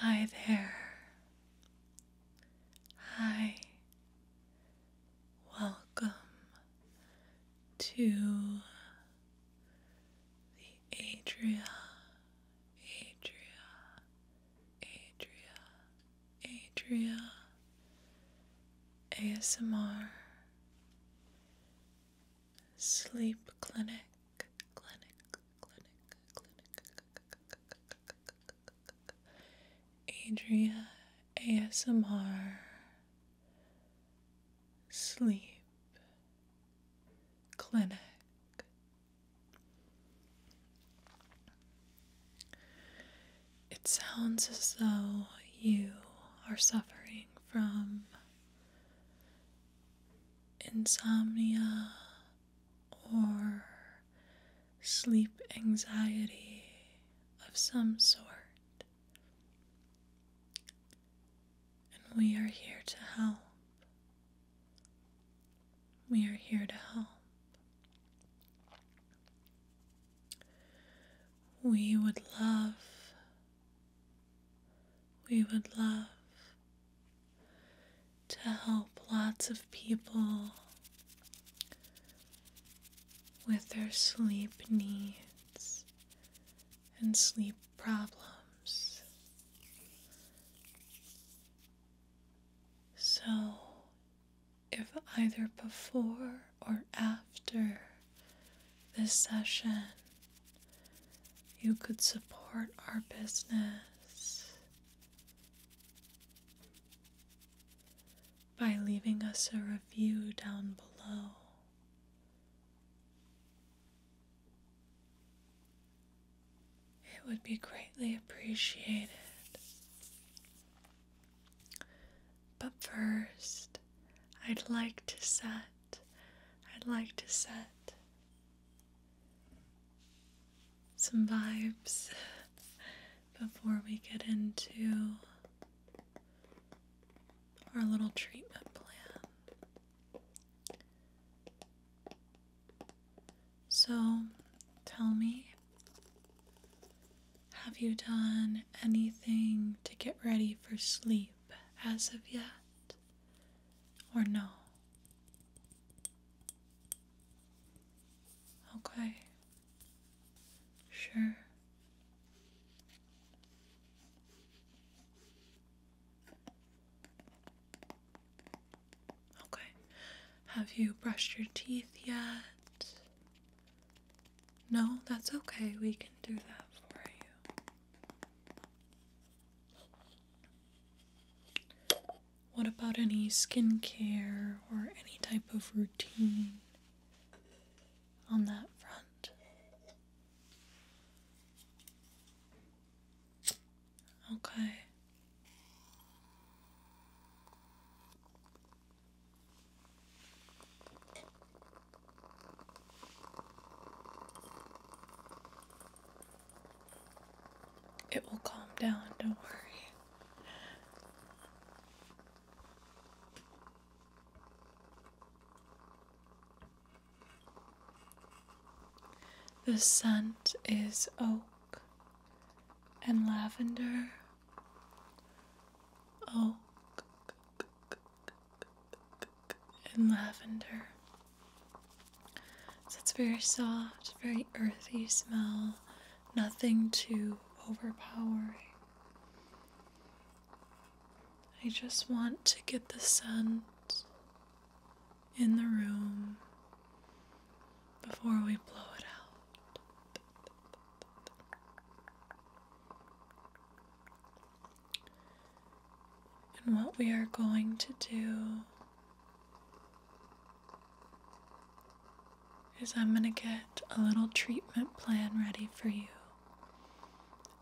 Hi there. Hi. Welcome to the Adria, Adria, Adria, Adria ASMR Sleep Clinic clinic, clinic, clinic. Adria ASMR Sleep Clinic. It sounds as though you are suffering from insomnia, or sleep anxiety of some sort. And we are here to help. We are here to help. We would love, we would love to help lots of people with their sleep needs and sleep problems. So, if either before or after this session you could support our business by leaving us a review down below. It would be greatly appreciated. But first, I'd like to set, I'd like to set some vibes before we get into our little treatment plan. So tell me, have you done anything to get ready for sleep as of yet? or no? Okay. Sure. Okay. Have you brushed your teeth yet? No, that's okay. We can do that for you. What about any skincare or any type of routine on that front? Okay. It will calm down, don't worry. The scent is oak and lavender. Oak and lavender. So it's very soft, very earthy smell, nothing too overpowering. I just want to get the scent in the room before we blow it out. And what we are going to do is I'm going to get a little treatment plan ready for you,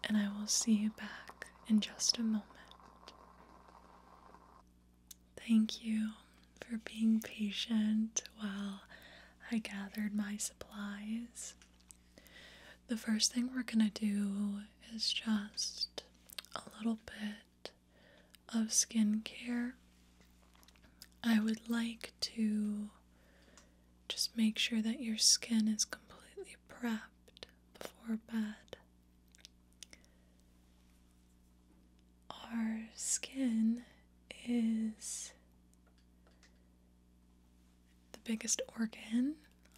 and I will see you back in just a moment. Thank you for being patient while I gathered my supplies. The first thing we're going to do is just a little bit of skincare, I would like to just make sure that your skin is completely prepped before bed. Our skin is the biggest organ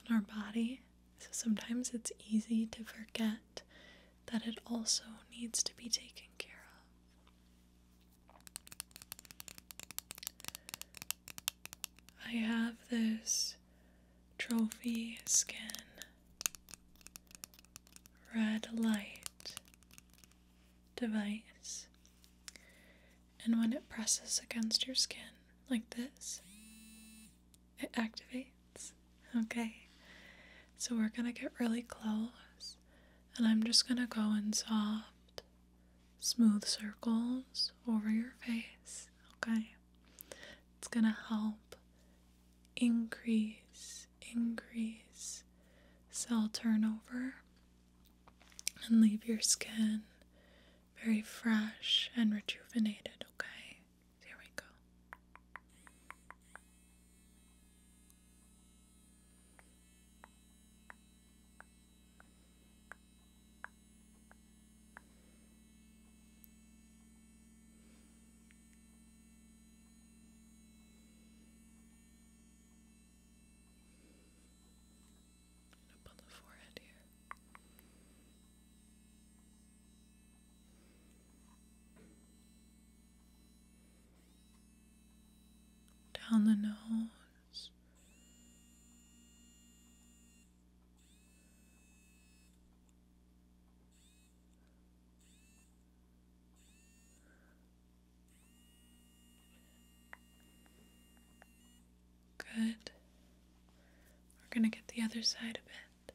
on our body. So sometimes it's easy to forget that it also needs to be taken care of. I have this trophy skin red light device, and when it presses against your skin like this, it activates. Okay, so we're gonna get really close, and I'm just gonna go in soft, smooth circles over your face. Okay, it's gonna help increase, increase cell turnover and leave your skin very fresh and rejuvenated, okay? There we go. up on the forehead here down the nose. Good. We're going to get the other side a bit.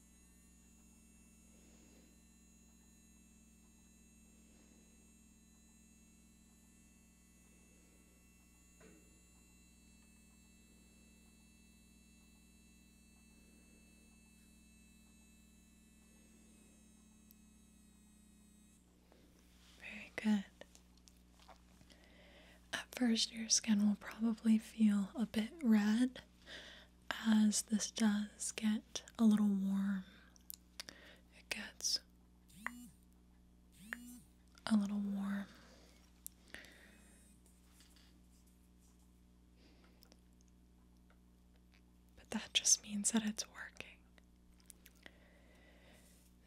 Very good. At first, your skin will probably feel a bit red, as this does get a little warm, it gets a little warm. But that just means that it's working.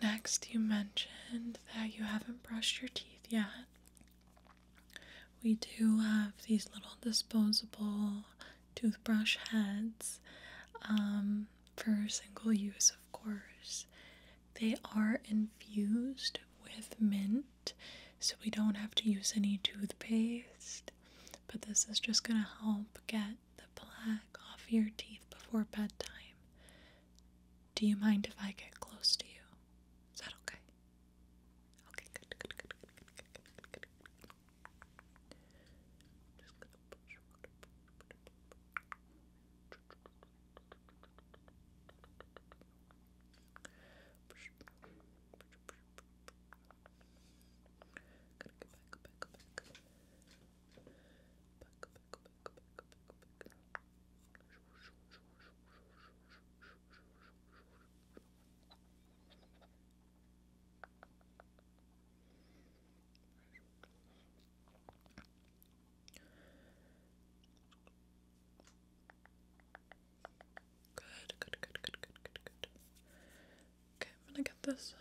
Next, you mentioned that you haven't brushed your teeth yet. We do have these little disposable toothbrush heads um, for single use, of course. They are infused with mint, so we don't have to use any toothpaste. But this is just going to help get the plaque off your teeth before bedtime. Do you mind if I get close to you? Is that okay? Okay, good, good, good. Just gonna push, push, push, push. Gotta go back, go back, go back. Back, back, back, back, back, back. Good, good, good, good, good, good, good. Okay, I'm gonna get this side.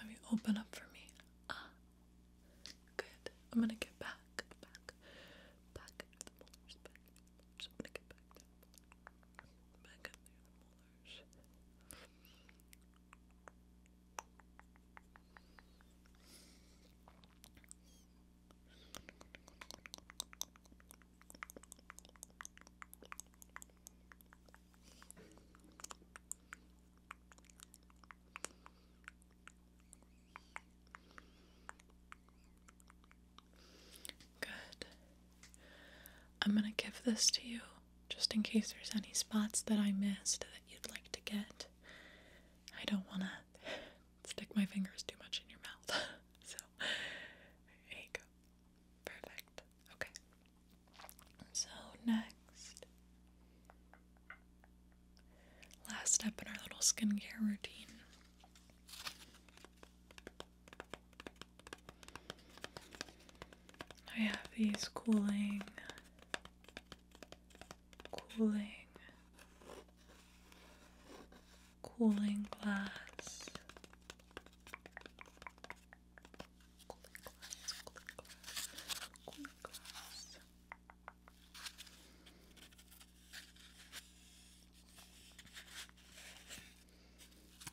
Have you open up for me? Ah, good. I'm gonna get back, back, back into the molars, back gonna get back there, the molars. Good. I'm going to give this to you just in case there's any spots that I missed that you'd like to get. I don't want to stick my fingers too much in your mouth. so, there you go. Perfect. Okay. So, next, last step in our little skincare routine. I have these cooling cooling, cooling glass. Cooling glass, cooling glass,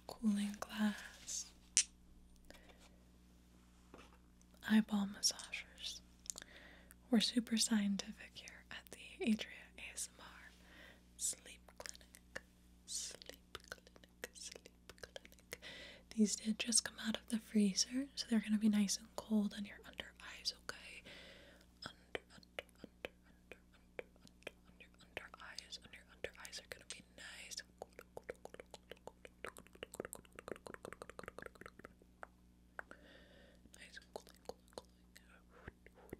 cooling glass. glass. Eyeball massagers. We're super scientific here at the Adria ASMR Sleep Clinic. Sleep Clinic, Sleep Clinic. These did just come out of the freezer, so they're going to be nice and cold on your under eyes, okay? Under, under, under, under, under, under, under eyes. On your under eyes are going to be nice Nice and cooling, cooling, cooling. Good.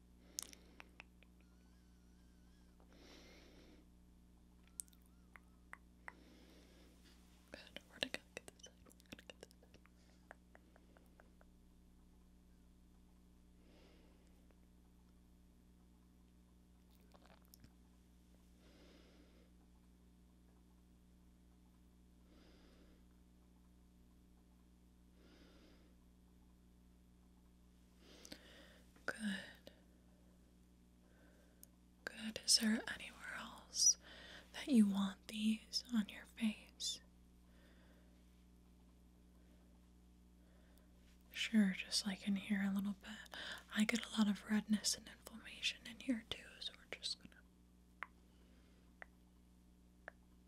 Good. Where to Get this side. Where to get this Good. Good. Is there anywhere else that you want these on your face? Sure, just like in here a little bit. I get a lot of redness and inflammation in here too, so we're just gonna.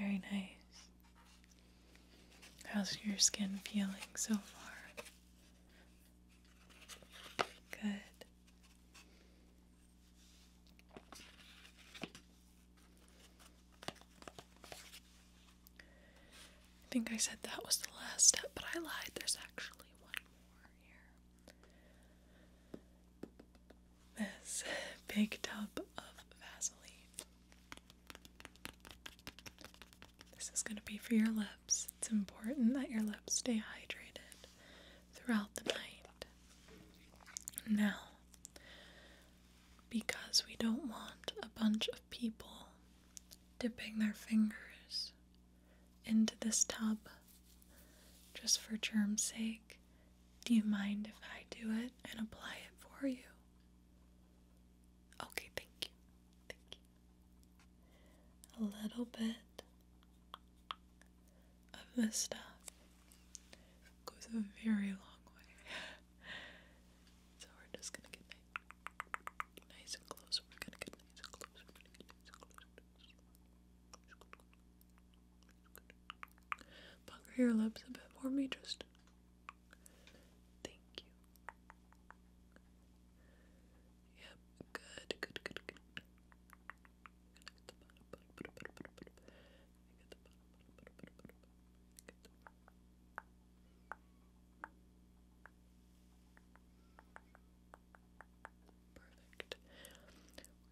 Very nice. How's your skin feeling so far? Good. I think I said that was the last step, but I lied. There's actually one more here. This big tub of Vaseline. This is going to be for your lips. It's important that your lips stay hydrated throughout the night. Now, because we don't want a bunch of people dipping their fingers into this tub just for germ's sake. Do you mind if I do it and apply it for you? Okay, thank you. Thank you. A little bit of this stuff goes a very long way. so we're just gonna get Bunker your lips a bit for me, just. Thank you. Yep. Good. Good. Good. Good. Perfect. we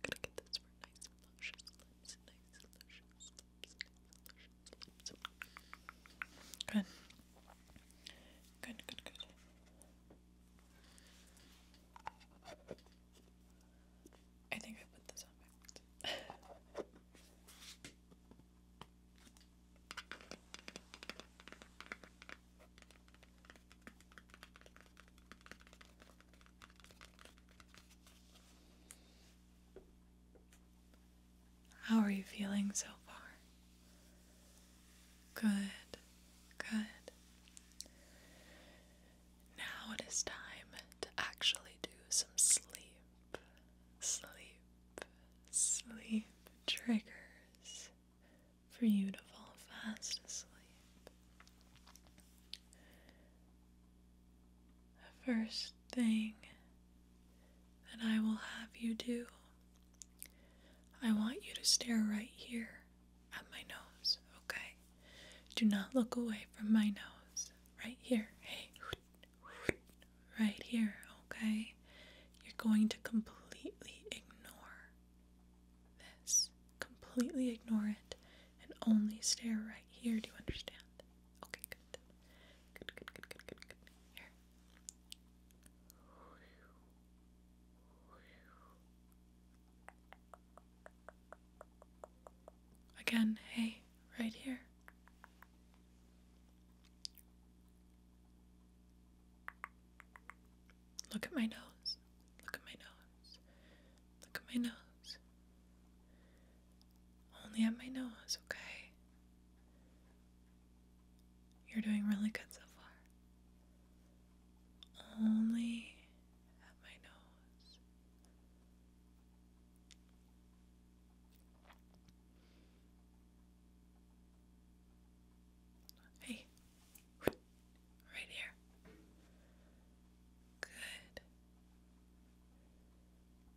gonna get this for nice luscious lips, nice luscious nice luscious Good. Good, good, good. I think I put this on How are you feeling so far? Good, good. Now it is time to actually do some sleep sleep, sleep triggers for you to fall fast asleep. first thing that I will have you do, I want you to stare right here at my nose, okay? Do not look away from my nose. Right here. Hey, right here, okay? You're going to completely ignore this. Completely ignore it and only stare right here. Do you understand? Okay, good. Good, good, good, good, good, good. Here. Again, hey, right here. Look at my nose. Look at my nose. Look at my nose. Only at my nose, okay? You're doing really good so far. Only at my nose. Hey, right here. Good.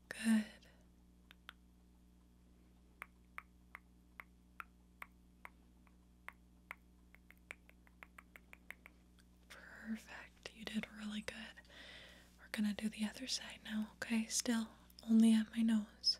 Good. Perfect. You did really good. We're gonna do the other side now, okay? Still, only at my nose.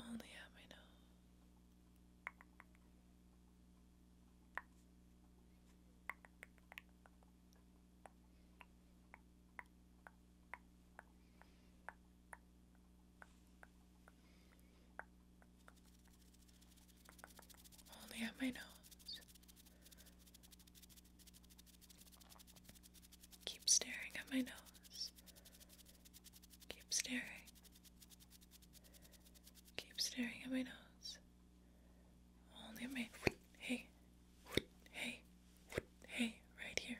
Only at my nose. Only at my nose. Keep staring at my nose. Keep staring. Keep staring at my nose. Only at my hey, hey, hey, right here.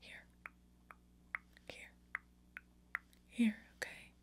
Here. Here. Here, okay.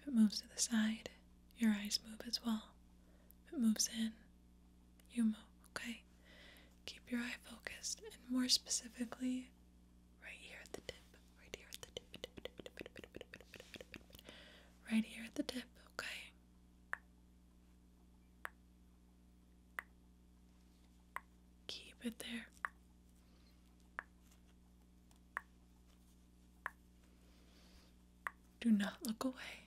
If it moves to the side, your eyes move as well. If it moves in, you move, okay? Keep your eye focused and more specifically, right here at the tip, right here at the tip, right here at the tip, okay? Keep it there. Do not look away.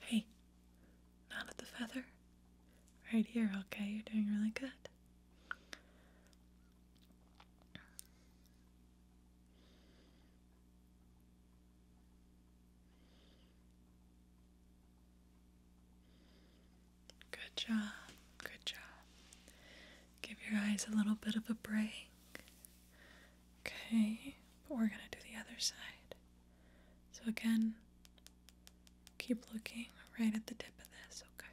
Hey, not at the feather. Right here, okay? You're doing really good. Good job, good job. Give your eyes a little bit of a break. Okay, but we're gonna do the other side. So again, keep looking right at the tip of this, okay?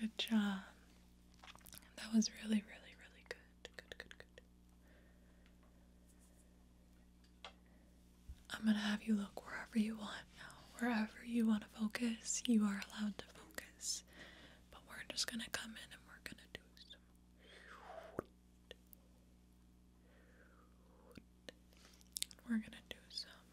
Good job. That was really, really, really good. Good, good, good. I'm gonna have you look wherever you want now. Wherever you want to focus, you are allowed to focus. But we're just gonna come in and we're gonna do some. We're gonna do some.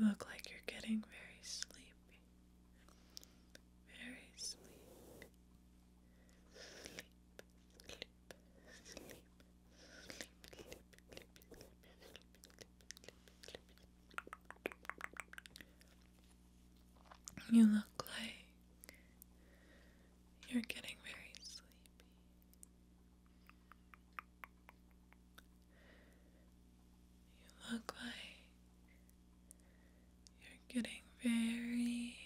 You look like you're getting very sleepy. Very sleepy. Sleep, sleep, sleep, sleep, sleep, sleep, sleep, sleep, you look like you're getting very sleepy. You look like you're getting very,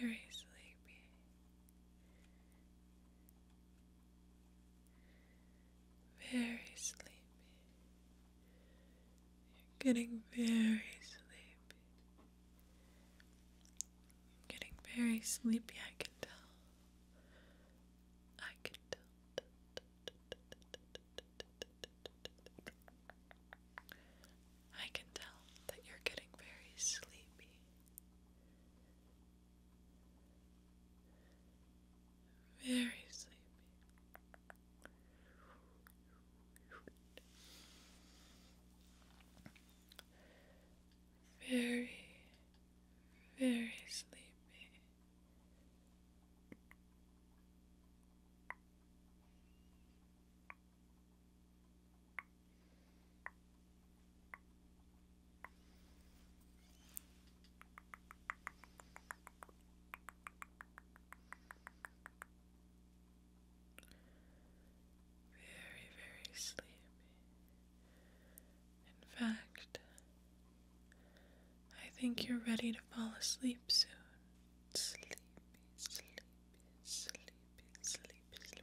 very sleepy. Very sleepy. You're getting very sleepy. You're getting very sleepy, I can tell. I can tell. I can tell that you're getting very sleepy. Very sleepy. Very, very sleepy. Very, very sleepy. In fact, I think you're ready to fall asleep soon. Sleepy, sleepy, sleepy, sleepy,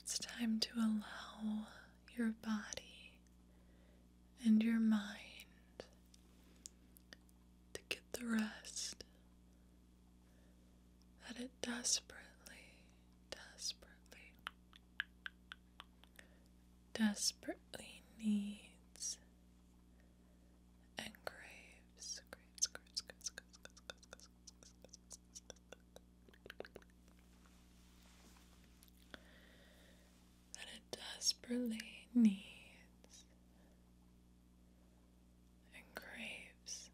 It's time to allow your body and your mind to get the rest that it desperately, desperately, desperately needs and graves. That it desperately needs and graves.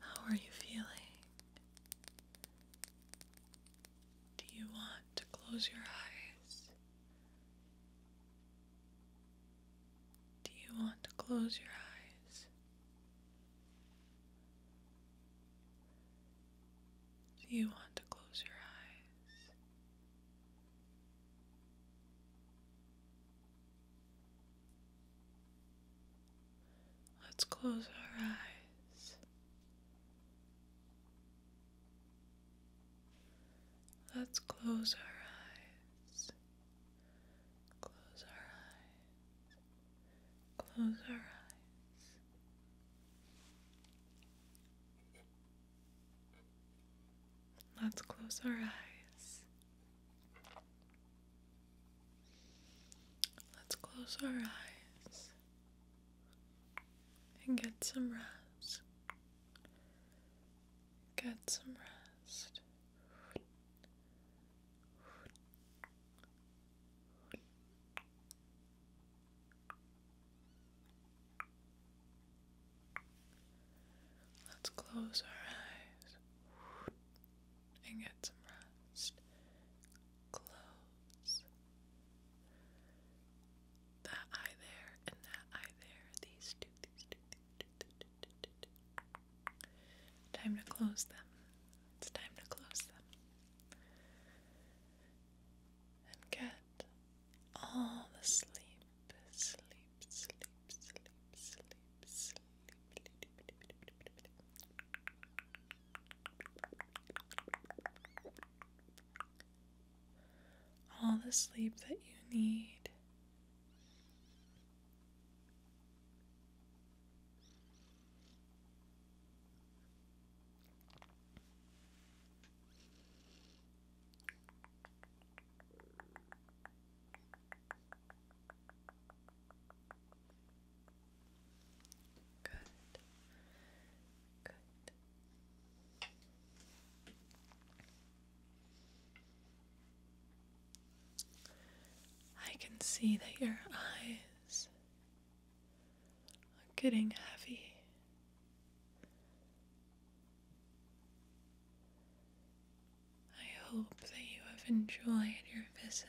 How are you feeling? Do you want to close your eyes? Do you want to close your eyes? Do you want to close your eyes? Let's close our eyes. Let's close our eyes. Close our eyes. Close our eyes. Let's close our eyes. Let's close our eyes and get some rest. Get some rest. Let's close our eyes and get some rest. Close that eye there and that eye there. These two, these two, Time to close them. It's time to close them. And get all the sleep, sleep, sleep, sleep, sleep, sleep. All the sleep that you need. Good. Good. I can see that your eyes I'm getting heavy. I hope that you have enjoyed your visit.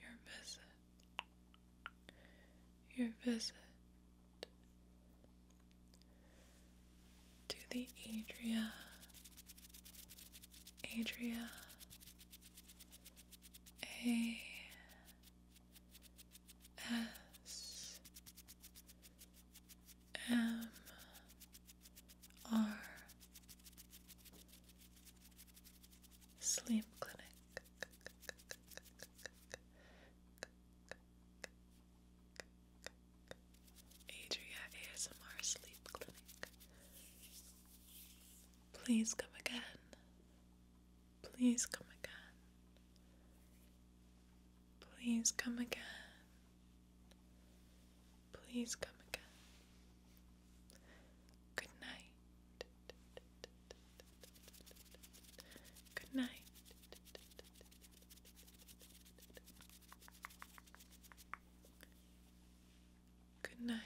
Your visit. Your visit to the Adria. Adria. A S M R Sleep Clinic. Adria ASMR Sleep Clinic. Please come again. Please come again. Please come again. Please come again. Good night. Good night. Good night.